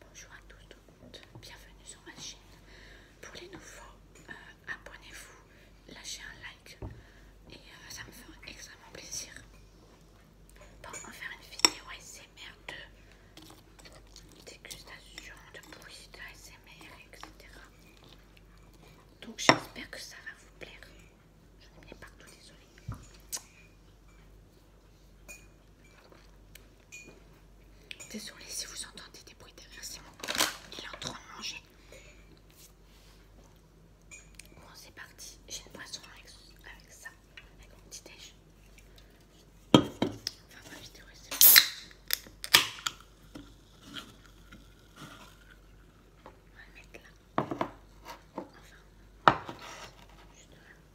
Bonjour à tous, tout bienvenue sur ma chaîne. Pour les nouveaux, euh, abonnez-vous, lâchez un like et euh, ça me fera extrêmement plaisir. Pour en faire une vidéo ASMR de dégustation, de bruit, de etc. Donc j'espère que ça va vous plaire. Je n'ai mets partout, désolée. Désolée si vous entendez des bruits derrière, c'est mon Il est en train de manger. Bon, c'est parti. J'ai une poisson avec, ça, avec mon petit déj. va pas vidéo On va le mettre là. Enfin, juste là.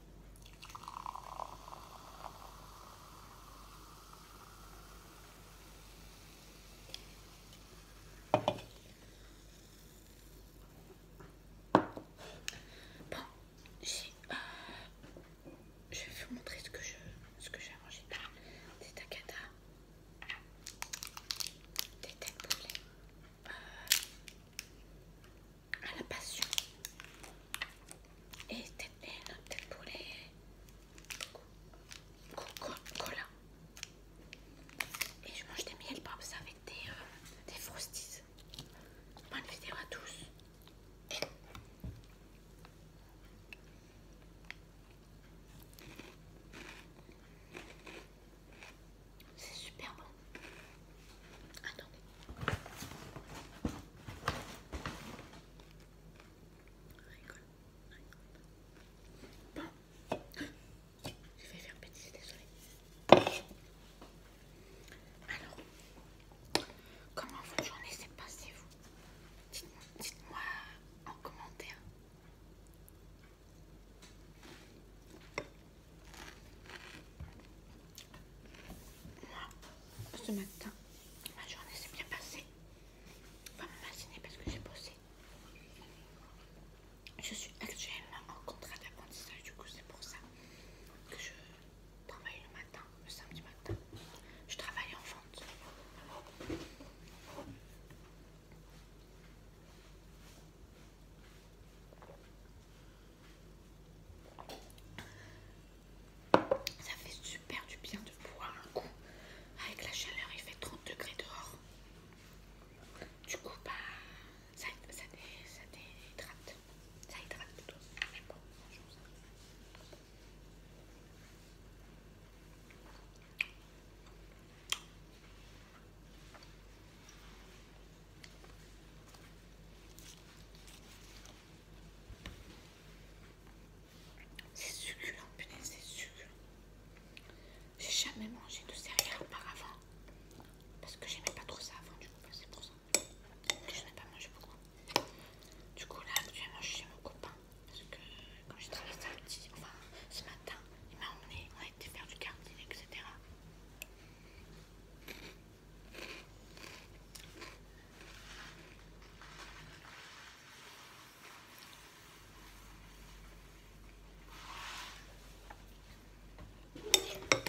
Bon, j'ai... Euh, je vais vous montrer ce que je, ce que j'ai arrangé. Ah, des tacata, des têtes de euh, à la passion. Et peut-être eh, pour les coca-cola. Et je mange des miel ça avec des, frosties euh, des frosties. Bonne vidéo à tous. C'est super bon. Attendez. Rigole, Bon. Je vais faire bêtise, désolée. Alors, comment votre journée s'est passée, vous Dites-moi en commentaire. Moi, ce matin, ma journée s'est bien passée. Va me matinée parce que j'ai bossé. Je suis actuellement en contrat d'apprentissage, du coup c'est pour ça que je travaille le matin, le samedi matin. Je travaille en vente. Ça fait super du bien de boire un coup. Avec la chaleur, il fait 30 degrés dehors. Du coup, bah, ça, ça, ça déhydrate. Ça hydrate plutôt. C'est succulent, putain, c'est succulent. J'ai jamais mangé de céréales auparavant. Parce que j'aimais pas trop ça avant, du coup, c'est pour ça. Je n'ai pas mangé beaucoup. Du coup, là, tu je suis chez mon copain. Parce que quand j'ai travaillé samedi, enfin ce matin, il m'a emmené, on a été faire du karting, etc.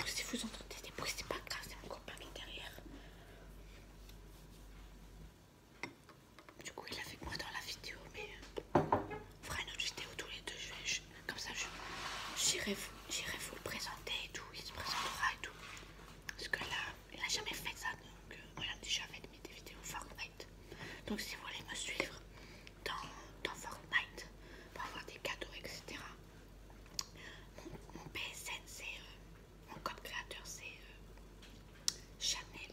Si vous entendez des bruits, c'est pas grave, c'est mon copain qui est derrière. Du coup, il est avec moi dans la vidéo, mais euh, on fera une autre vidéo tous les deux. comme ça, j'irai vous, vous le présenter et tout. Il se présentera et tout. Parce que là, jamais fait ça. Donc, euh, il on déjà fait des vidéos Fortnite. Donc, si vous voulez me suivre dans, Fortnite pour avoir des cadeaux, etc., mon, PSN, c'est euh, mon code créateur, c'est Chanel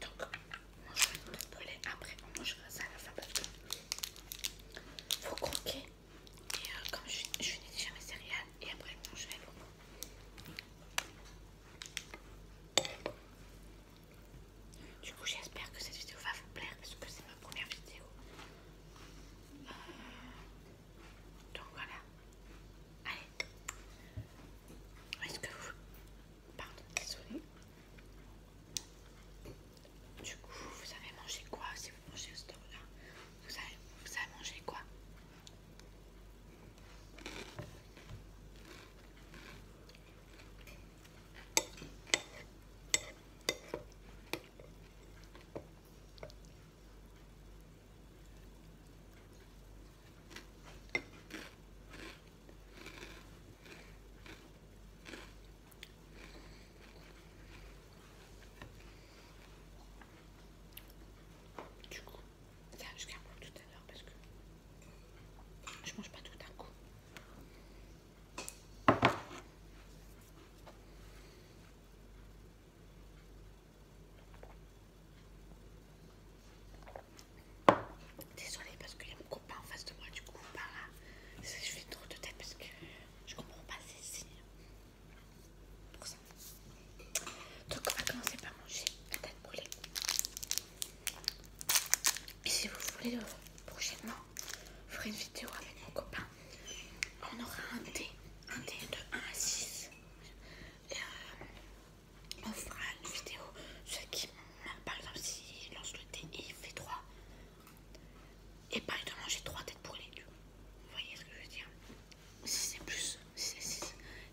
Donc, euh, on mange vais me brûlée. Après, on mangera ça à la fin parce faut croquer. Et comme je, n'ai déjà mes céréales, et après, je vais l'eau. Du coup, j'espère que cette vidéo va vous plaire parce que c'est ma première vidéo. Euh, donc voilà. Allez. Est-ce que vous... Pardon, désolé. Du coup, vous avez mangé quoi si vous mangez ce store là vous avez, vous avez mangé quoi du coup, ça jusqu'à garde pour tout à l'heure parce que je mange pas tout d'un coup. Désolée parce qu'il y a mon copain en face de moi, du coup, par là. Je fais trop de tête parce que je comprends pas ces signes. Pour ça. Donc, on va commencer par manger la tête brûlée. Et si vous voulez, euh, prochainement, je ferai une vidéo avec mon copain. On aura un dé un dé de 1 à 6. Et euh, on fera une vidéo. Ceux qui, par exemple, s'ils lance le thé et il fait 3, et pas de manger 3 têtes pour les deux. Vous voyez ce que je veux dire Si c'est plus,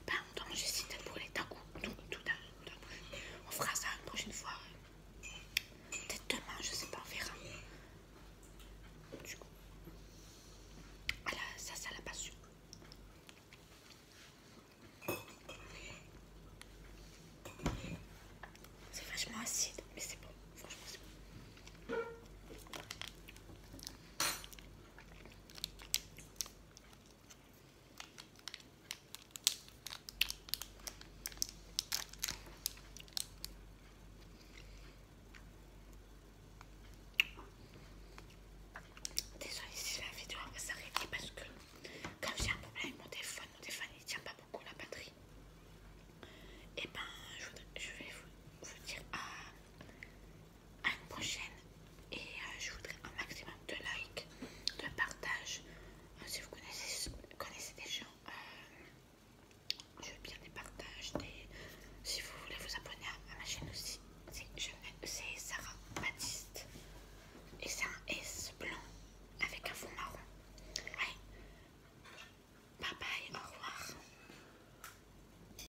pas manger si t'as brûlé les tacos. Tout, tout, coup on fera ça une prochaine fois. Peut-être demain, je sais pas, on verra. Du coup, ah ça, ça l'a pas su. C'est vachement acide, mais c'est bon. Franchement, c'est bon. Désolée si la vidéo va s'arrêter parce que comme j'ai un problème avec mon téléphone, mon téléphone il tient pas beaucoup la batterie. Et eh ben je, vais vous dire à ah, à une prochaine et euh, je voudrais un maximum de likes, de partage. Euh, si vous connaissez, des gens, euh, je veux bien des partages. Si vous voulez vous abonner à, ma chaîne aussi, c'est Sarah Baptiste et c'est un S blanc avec un fond marron. Ouais. Bye bye, au revoir.